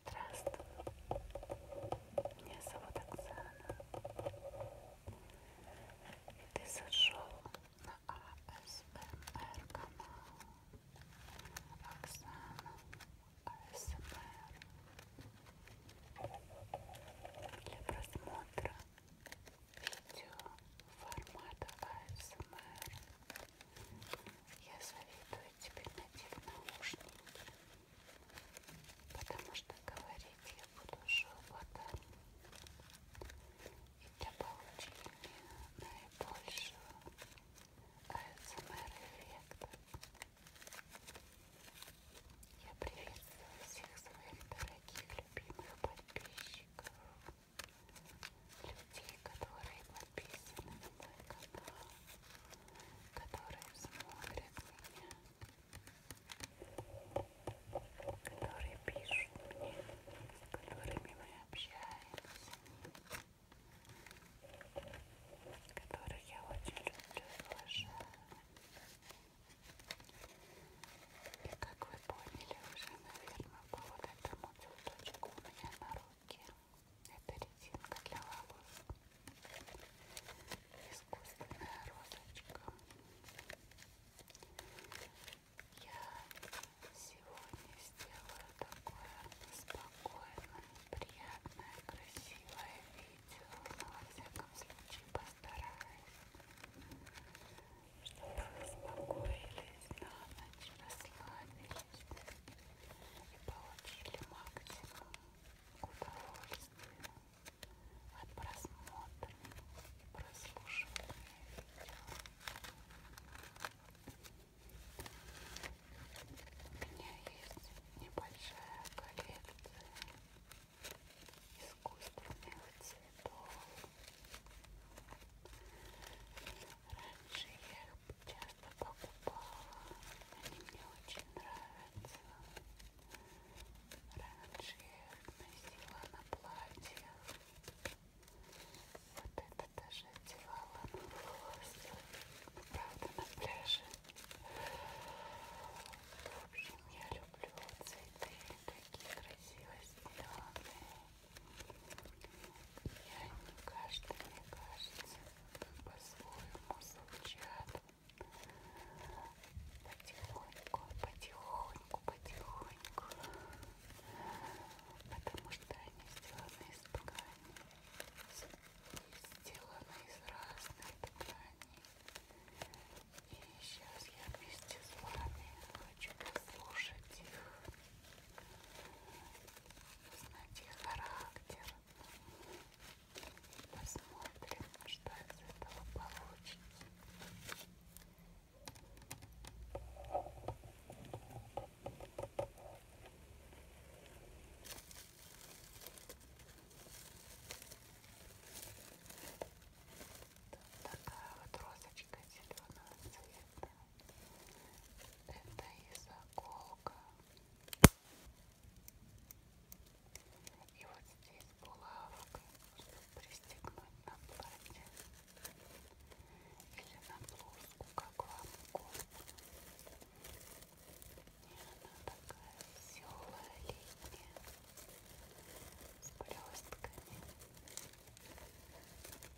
Здравствуй, меня зовут Оксана. И ты зашел на АСМР канал Оксана АСМР для просмотра видео формата АСМР я советую тебе надеть наушники, потому что говорить я буду шепотом, и для получения наибольшего АСМР-эффекта эм я приветствую всех своих дорогих, любимых подписчиков людей, которые подписаны на мой канал, которые смотрят меня, которые пишут мне, с которыми мы общаемся, которых я очень люблю и уважаю. И как вы поняли уже, наверное, по вот этому цветочку у меня на руке. Это резинка для волос. Искусственная розочка. Я сегодня сделаю такое спокойное, приятное, красивое видео. Но, во всяком случае, постараюсь, чтобы вы успокоились на ночь, расслабились и получили максимум удовольствия от просмотра и прослушивания видео. У меня есть небольшая коллекция искусственных цветов. Раньше я их часто покупала. Они мне очень нравятся. Раньше я их носила на платье. Вот это даже одевала на волосы. Ну, правда, на пляже. В общем, я люблю цветы. Такие красивые зеленые. И каждый, мне кажется, по-своему звучат. Потихоньку, потихоньку, потихоньку. Потому что они сделаны из ткани. Сделаны из разных тканей. И сейчас я вместе с вами хочу послушать их узнать их характер. Посмотрим, что из этого получится. Тут такая вот розочка зеленого цвета. Это и заколка. И вот здесь булавка, чтобы пристегнуть на платье или на блузку, как вам угодно. И она такая веселая летняя, с блестками.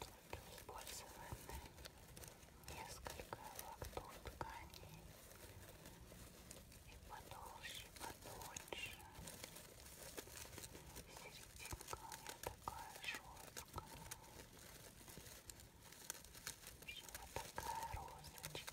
Тут использованы несколько локтов тканей и подолще, потоньше. Серединка у меня такая жесткая. Вот такая розочка.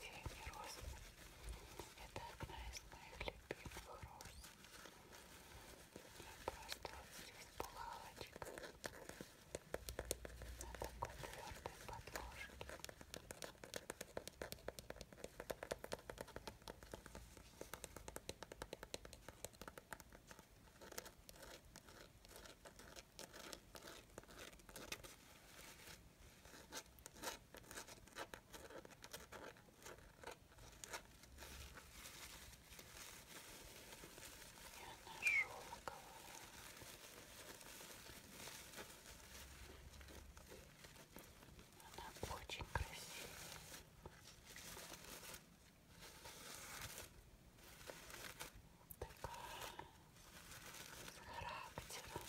синий роз. Это одна из моих любимых роз. Я просто вот здесь пухалочек на такой твердой подложке. Ой, и она шелковая. Она очень красивая. Такая с характером.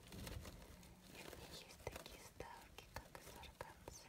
И в ней есть такие ставки, как и сарганцы.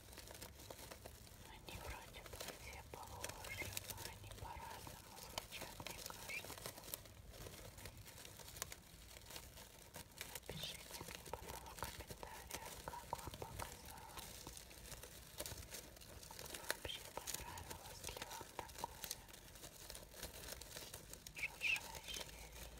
Они вроде бы все похожи, но они по-разному звучат, мне кажется. Напишите мне потом в комментариях, как вам показалось. Вообще понравилось ли вам такое шуршащее видео?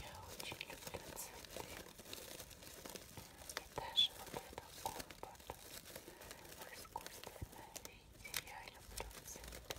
Я очень люблю цветы. И даже вот этот компот в искусственном виде. Я люблю цветы.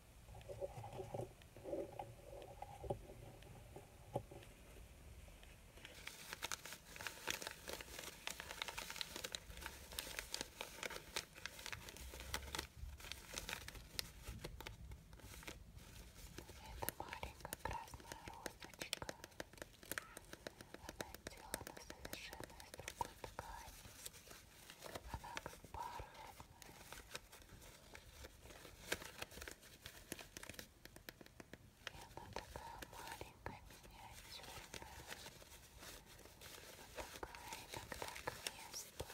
Это маленькая красная розочка. Она сделана совершенно из другой ткани. Она как бархатная. И она такая маленькая, миниатюрная. Она такая иногда к месту.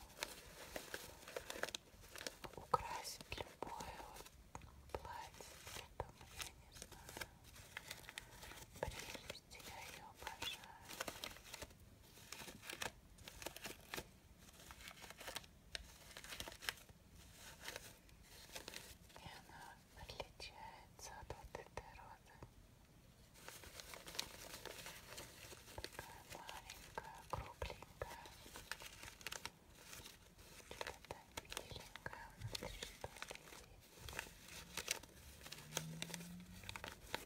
Украсит любое вот платье. Это я не знаю. Прелесть, я ее обожаю. И она отличается от вот этой розы. Такая маленькая, кругленькая. Что-то миленькое внутри, что ли.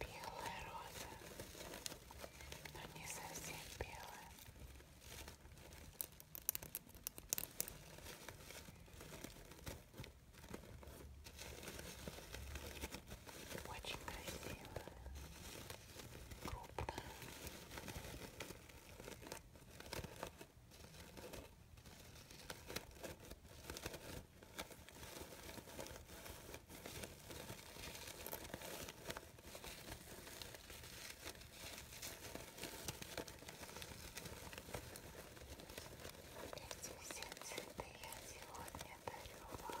Белая роза, но не совсем белая. Очень красивая, крупная. Эти все цветы я сегодня дарю вам.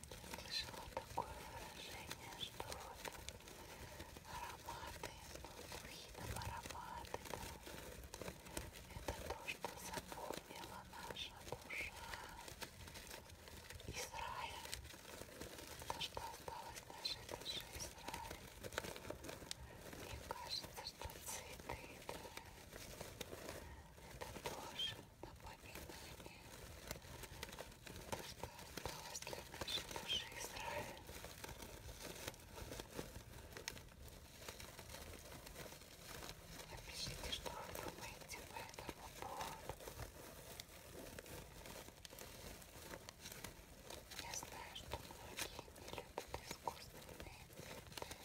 слышала такое выражение, что вот ароматы, ну, духи там ароматы, да, это то, что запомнила наша душа из рая, то, что осталось в нашей душе из рая. Мне кажется, что цветы, да, это тоже напоминание что удалось для нашей души Израиля. Напишите, что вы думаете по этому поводу. Я знаю, что многие не любят искусственные цветы,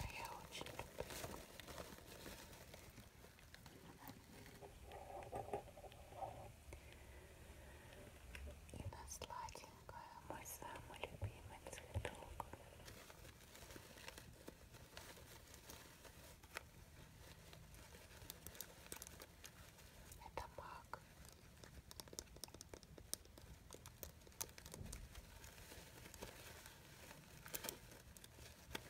но я очень люблю. И на сладенькое мой самый любимый цветок. Это мак. Одно время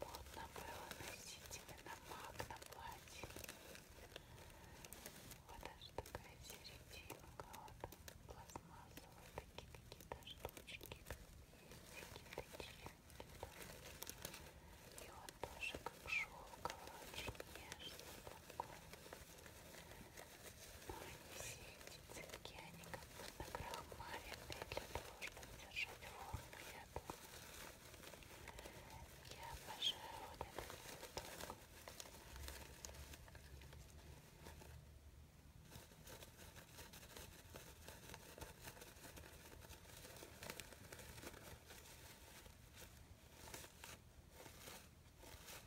модно было носить именно маг на платье. Вот даже такая серединка, вот пластмассовые такие какие-то штучки, какие-то чинки. И он тоже как шелковый, очень нежный такой все эти цветки, они как будто крахмаленные для того, чтобы держать форму, я думаю. Я обожаю вот этот цветок. Ой,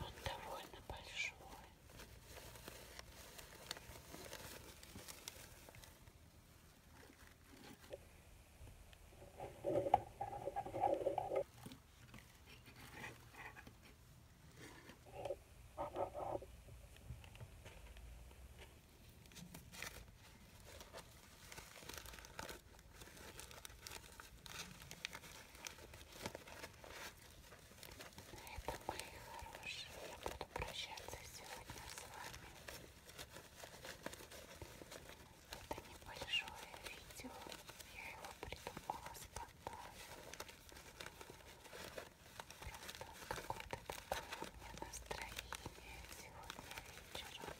Он довольно большой. Это мои хорошие. Я буду прощаться сегодня с вами это небольшое видео, я его придумала спонтанно. Просто вот какое-то такое у меня настроение сегодня вечером.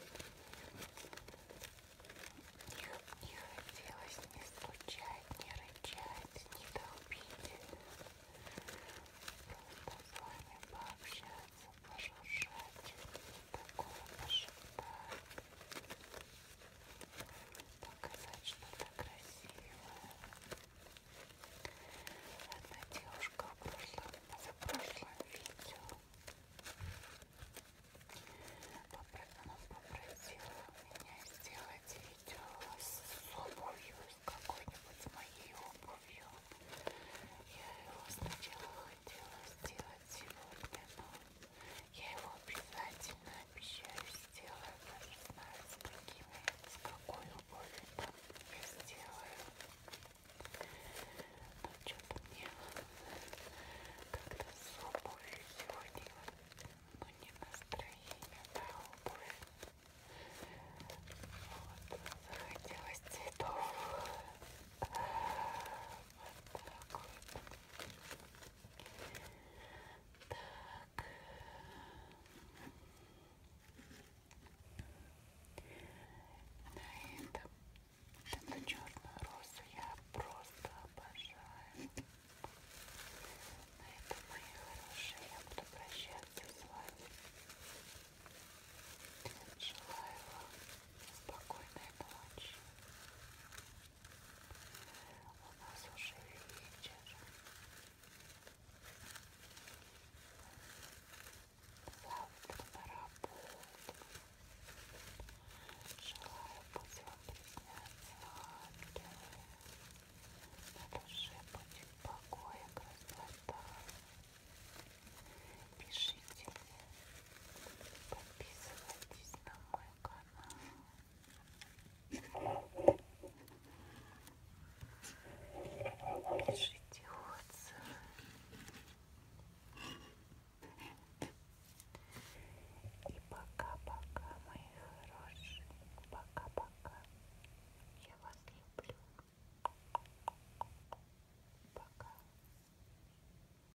Не, не хотелось ни стучать, ни рычать, ни долбить. Просто с вами пообщаться, пошуршать такого шипа. Показать что-то красивое. Одна девушка в прошлом, за прошлом видео Попро попросила меня сделать видео с обувью, с какой-нибудь моей обувью. Я его сначала хотела сделать сегодня, но я его обязательно обещаю сделаю. Даже знаю, с, какими, с какой любовью там я сделаю. Но что-то мне как-то с обувью сегодня, но ну, не настроение, да, обувь. Вот, захотелось цветов. Так. На этом эту черную розу я просто обожаю. На этом, мои хорошие, я буду прощаться с вами. Желаю вам Спокойной ночи. У нас уже вечер. Завтра на работу. Желаю пусть вам приснятся ангелы. На душе будет покоя, красота. Пишите мне, Подписывайтесь на мой канал. Пишите отзывы. И пока-пока, мои хорошие. Пока-пока. Я вас люблю. Пока.